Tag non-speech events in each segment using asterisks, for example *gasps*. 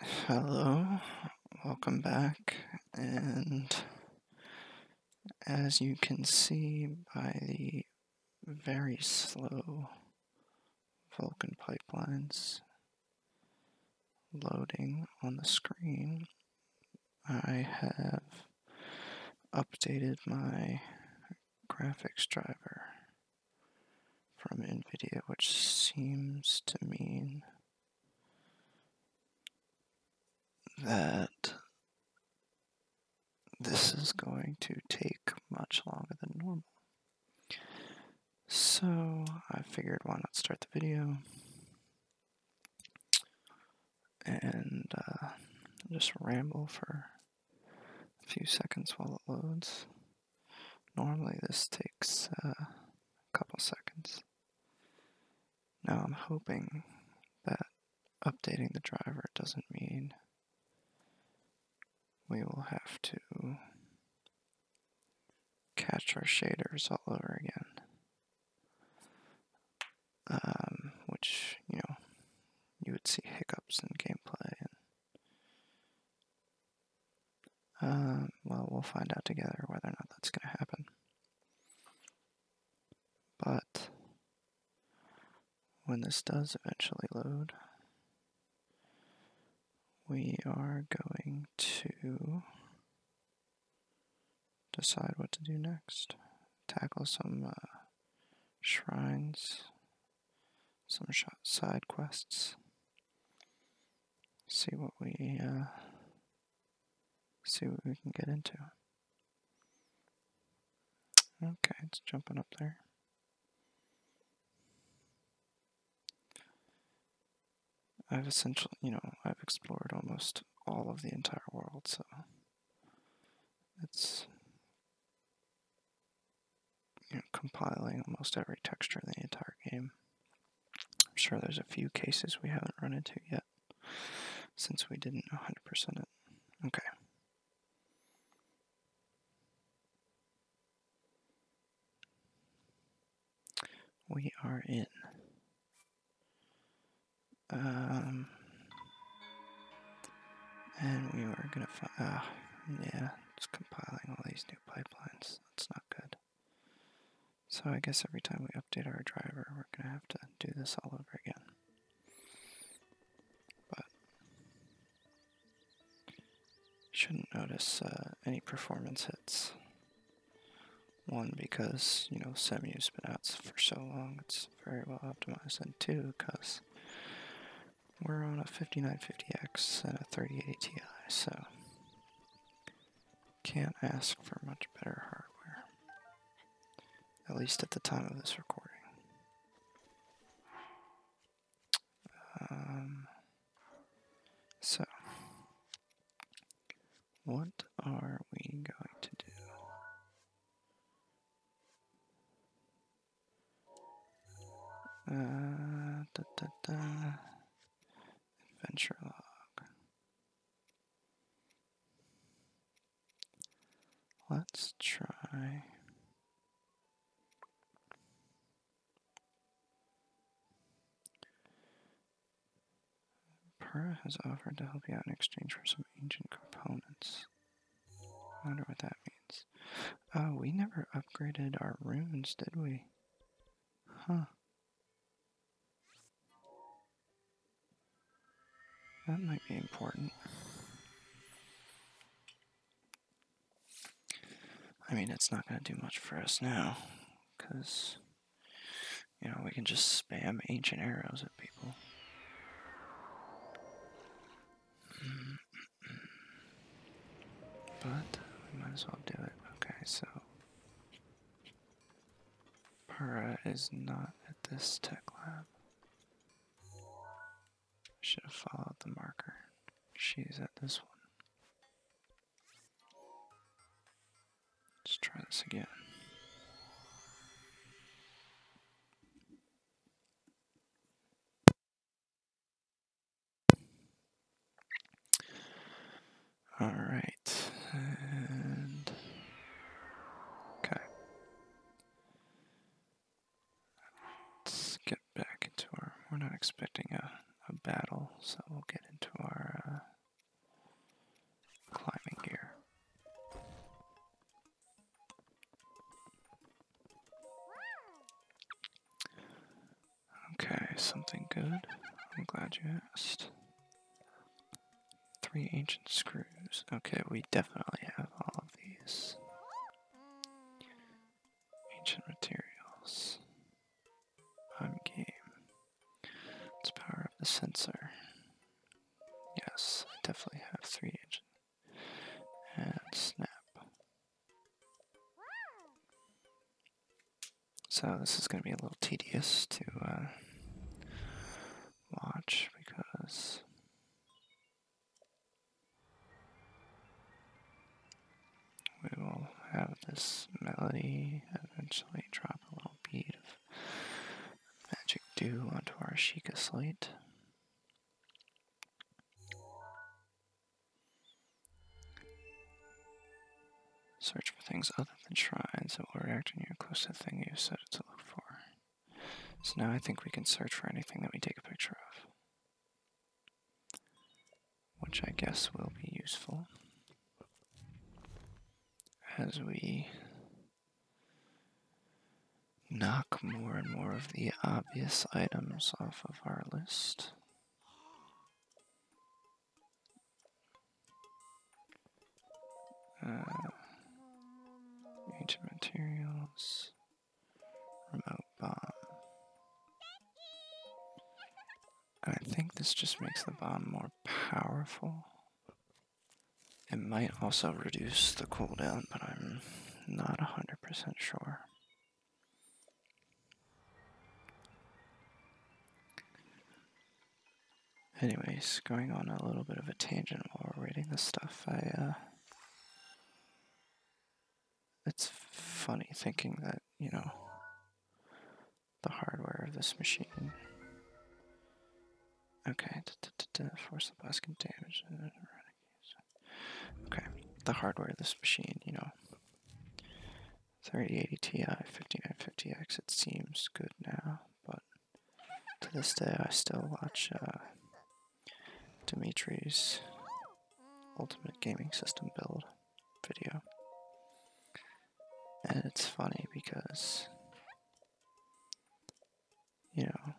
Hello, welcome back, and as you can see by the very slow Vulcan pipelines loading on the screen, I have updated my graphics driver from NVIDIA, which seems to mean that this is going to take much longer than normal. So I figured why not start the video and uh, just ramble for a few seconds while it loads. Normally this takes uh, a couple seconds. Now I'm hoping that updating the driver doesn't mean we will have to catch our shaders all over again. Um, which, you know, you would see hiccups in gameplay uh, well, we'll find out together whether or not that's going to happen. But when this does eventually load, we are going to decide what to do next. Tackle some uh, shrines some side quests. See what we uh, see what we can get into. Okay, it's jumping up there. I've essentially, you know, I've explored almost all of the entire world, so it's you know, compiling almost every texture in the entire game. I'm sure there's a few cases we haven't run into yet since we didn't 100% it. Okay. We are in. Um, and we were gonna find, ah, yeah, just compiling all these new pipelines. That's not good. So I guess every time we update our driver, we're going to have to do this all over again. But shouldn't notice uh, any performance hits. One, because, you know, Semu's been out for so long, it's very well optimized. And two, because we're on a 5950X and a 3080 Ti, so can't ask for much better hardware. At least at the time of this recording. Um, so, what are we going to do? Uh, Adventure log. Let's try. Pera has offered to help you out in exchange for some ancient components. I wonder what that means. Oh, we never upgraded our runes, did we? Huh. That might be important. I mean, it's not going to do much for us now, because, you know, we can just spam ancient arrows at people. But we might as well do it. Okay, so Para is not at this tech lab. Should have followed the marker. She's at this one. Let's try this again. All right, and okay. Let's get back into our. We're not expecting a, a battle, so we'll get into our uh, climbing gear. Okay, something good. I'm glad you asked. Three ancient screws. Okay, we definitely have all of these. Ancient materials. I'm game. Let's power up the sensor. Yes, I definitely have three ancient and snap. So this is going to be a little tedious to uh, watch because we will have this melody eventually drop a little bead of magic dew onto our Sheikah slate. Search for things other than shrines that will react when you're close to the thing you set it to look for. So now I think we can search for anything that we take a picture of. Which I guess will be useful as we knock more and more of the obvious items off of of our list. Uh, ancient materials, remote bomb. I think this just makes the bomb more powerful. It might also reduce the cooldown, but I'm not 100% sure. Anyways, going on a little bit of a tangent while we're reading this stuff, I, uh. It's funny thinking that, you know, the hardware of this machine. Okay, force the bus can damage. it Okay, the hardware of this machine, you know. 3080 Ti, 5950X, it seems good now, but to this day I still watch uh, Dimitri's Ultimate Gaming System build video. And it's funny because, you know,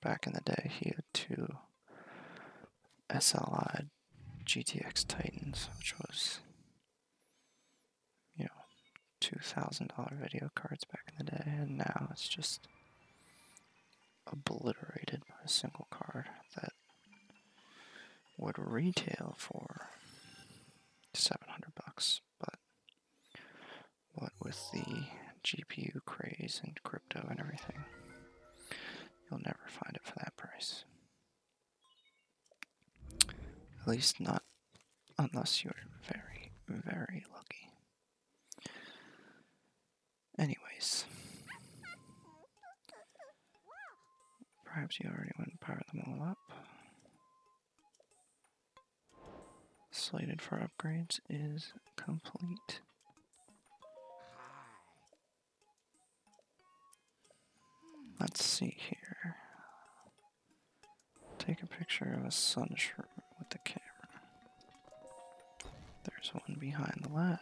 back in the day he had two SLI GTX Titans, which was, you know, $2,000 video cards back in the day, and now it's just obliterated by a single card that would retail for 700 bucks, but what with the GPU craze and crypto and everything, You'll never find it for that price. At least not unless you're very, very lucky. Anyways. Perhaps you already went and powered them all up. Slated for upgrades is complete. Let's see here. Take a picture of a sun with the camera. There's one behind the lab.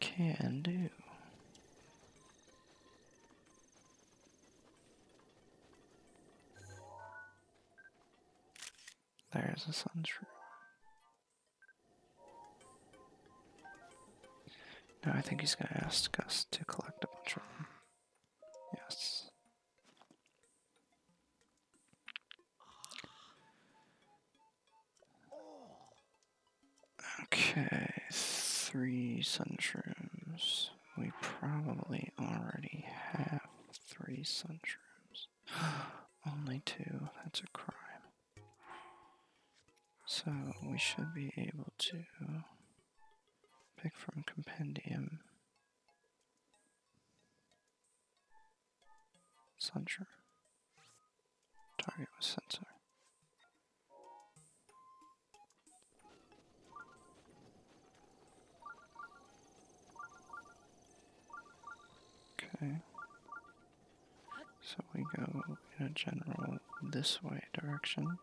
Can do. There's a sunshroom. No, I think he's going to ask us to collect a bunch of them. Yes. Okay, three sunshrooms. We probably already have three sunshrooms. *gasps* Only two, that's a crime. So we should be able to pick from compendium. Sensor. Target was sensor. Okay. So we go in a general this way direction.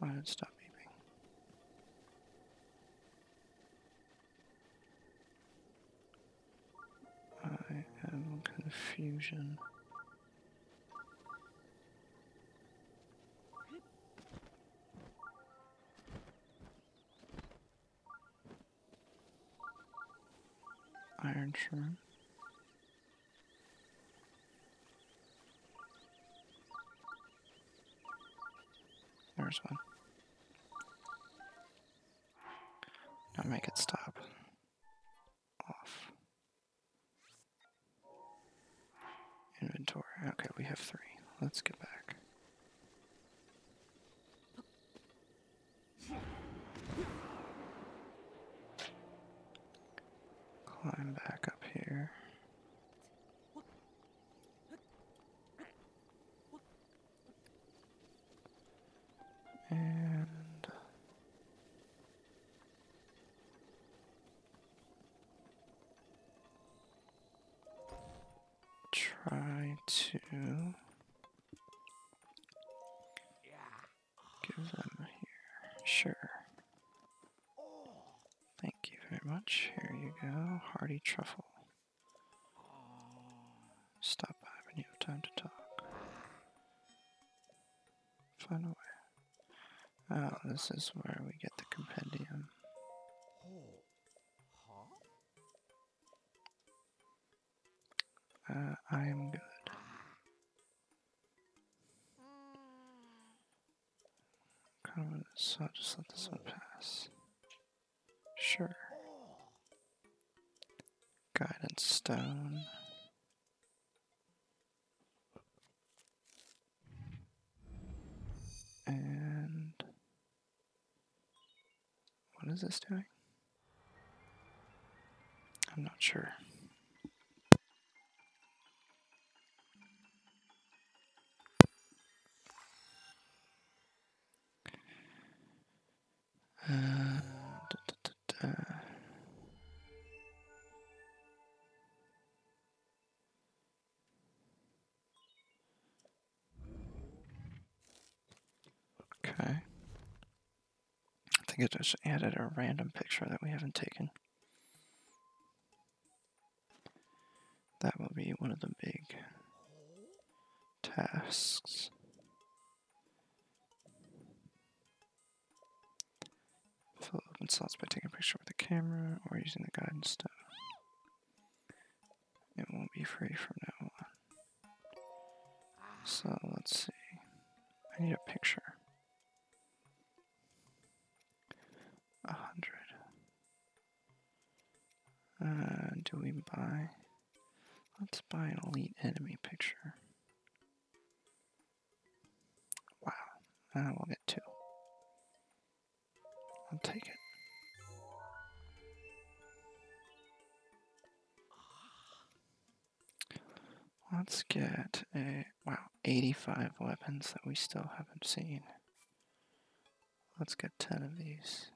Why did it stop beeping? I am confusion. Iron Shrimp. There's one. Now make it stop. Off. Inventory. Okay, we have three. Let's get back. Climb back up here. And try to give them here. Sure. Thank you very much. Here you go. Hardy truffle. Stop by when you have time to talk. Find a way. Oh, this is where we get the compendium. Uh, I am good. Kind of, so just let this one pass. Sure. Guidance stone. And what is this doing? I'm not sure. Uh, okay. I think it just added a random picture that we haven't taken. That will be one of the big tasks. Fill open slots by taking a picture with the camera or using the guidance stuff. It won't be free from now on. So let's see. I need a picture. A hundred. Uh, do we buy? Let's buy an elite enemy picture. Wow, I will get two. I'll take it. Let's get a, wow, 85 weapons that we still haven't seen. Let's get 10 of these.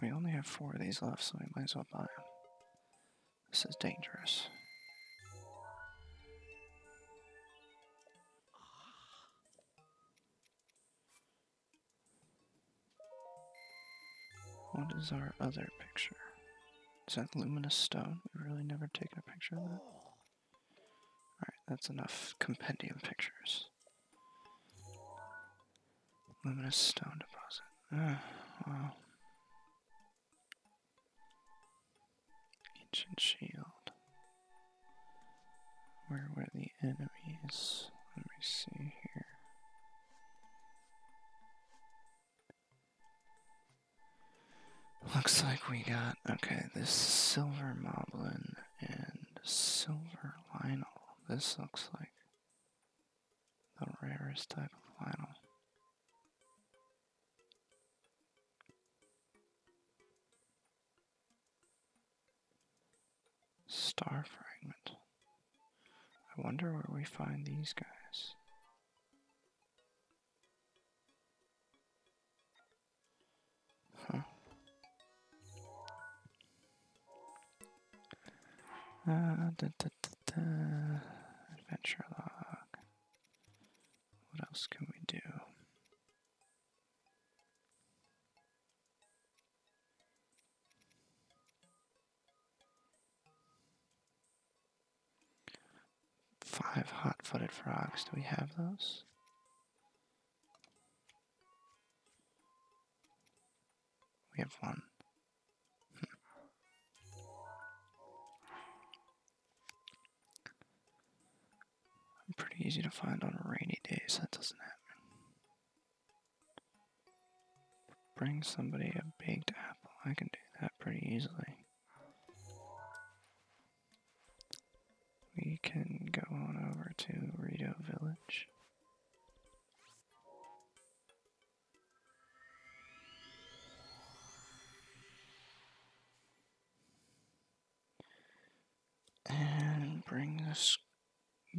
We only have four of these left, so we might as well buy them. This is dangerous. What is our other picture? Is that luminous stone? We've really never taken a picture of that. Alright, that's enough compendium pictures. Luminous stone deposit. Uh, Ancient shield. Where were the enemies? Let me see here. Looks like we got, okay, this silver moblin and silver lionel. This looks like the rarest type of lionel. Star fragment. I wonder where we find these guys. Huh. Uh, Adventure log. What else can we do? Five hot-footed frogs. Do we have those? We have one. Hmm. pretty easy to find on rainy days. That doesn't happen. Bring somebody a baked apple. I can do that pretty easily. We can go on over to Rito Village. And bring this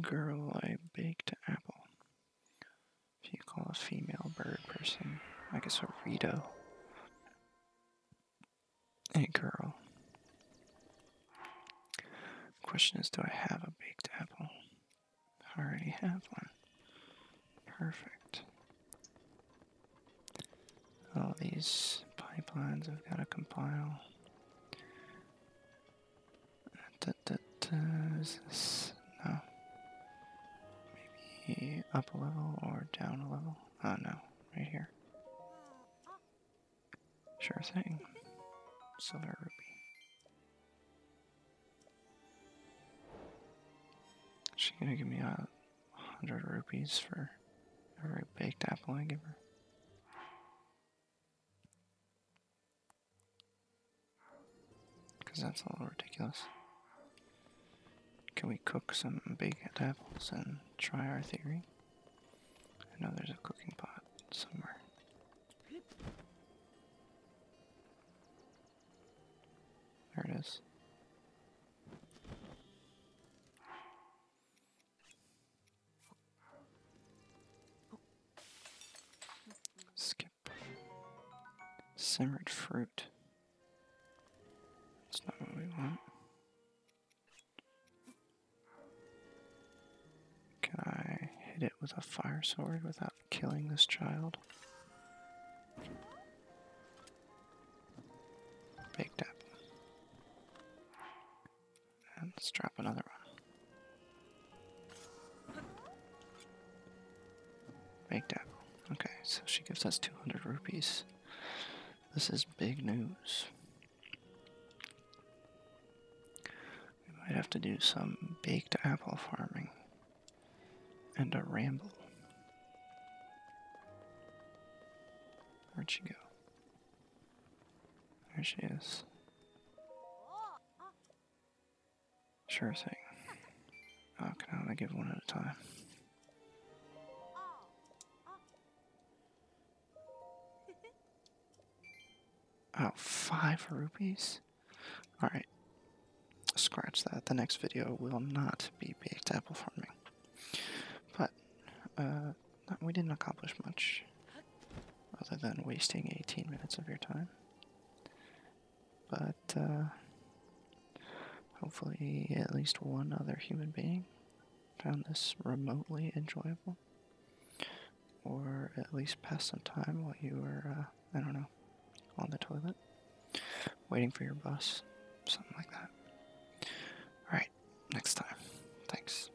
girl I baked apple. If you call a female bird person, I guess a Rito. Hey girl. Question is, do I have a baked apple? I already have one. Perfect. All these pipelines I've got to compile is this? No. Maybe up a level or down a level? Oh no, right here. Sure thing. Silver ruby. she gonna give me a hundred rupees for every baked apple I give her? Because that's a little ridiculous. Can we cook some baked apples and try our theory? I know there's a cooking pot somewhere. There it is. Skip. Simmered fruit. That's not what we want. Can I hit it with a fire sword without killing this child? Baked apple let's drop another one. Baked apple. Okay, so she gives us 200 rupees. This is big news. We might have to do some baked apple farming and a ramble. Where'd she go? There she is. Oh. Sure thing. Oh, can I only give one at a time? Oh, five rupees? Alright. Scratch that. The next video will not be baked apple farming. But, uh, we didn't accomplish much. Other than wasting 18 minutes of your time. But uh, hopefully, at least one other human being found this remotely enjoyable, or at least passed some time while you were, uh, I don't know, on the toilet, waiting for your bus, something like that. Alright, next time. Thanks.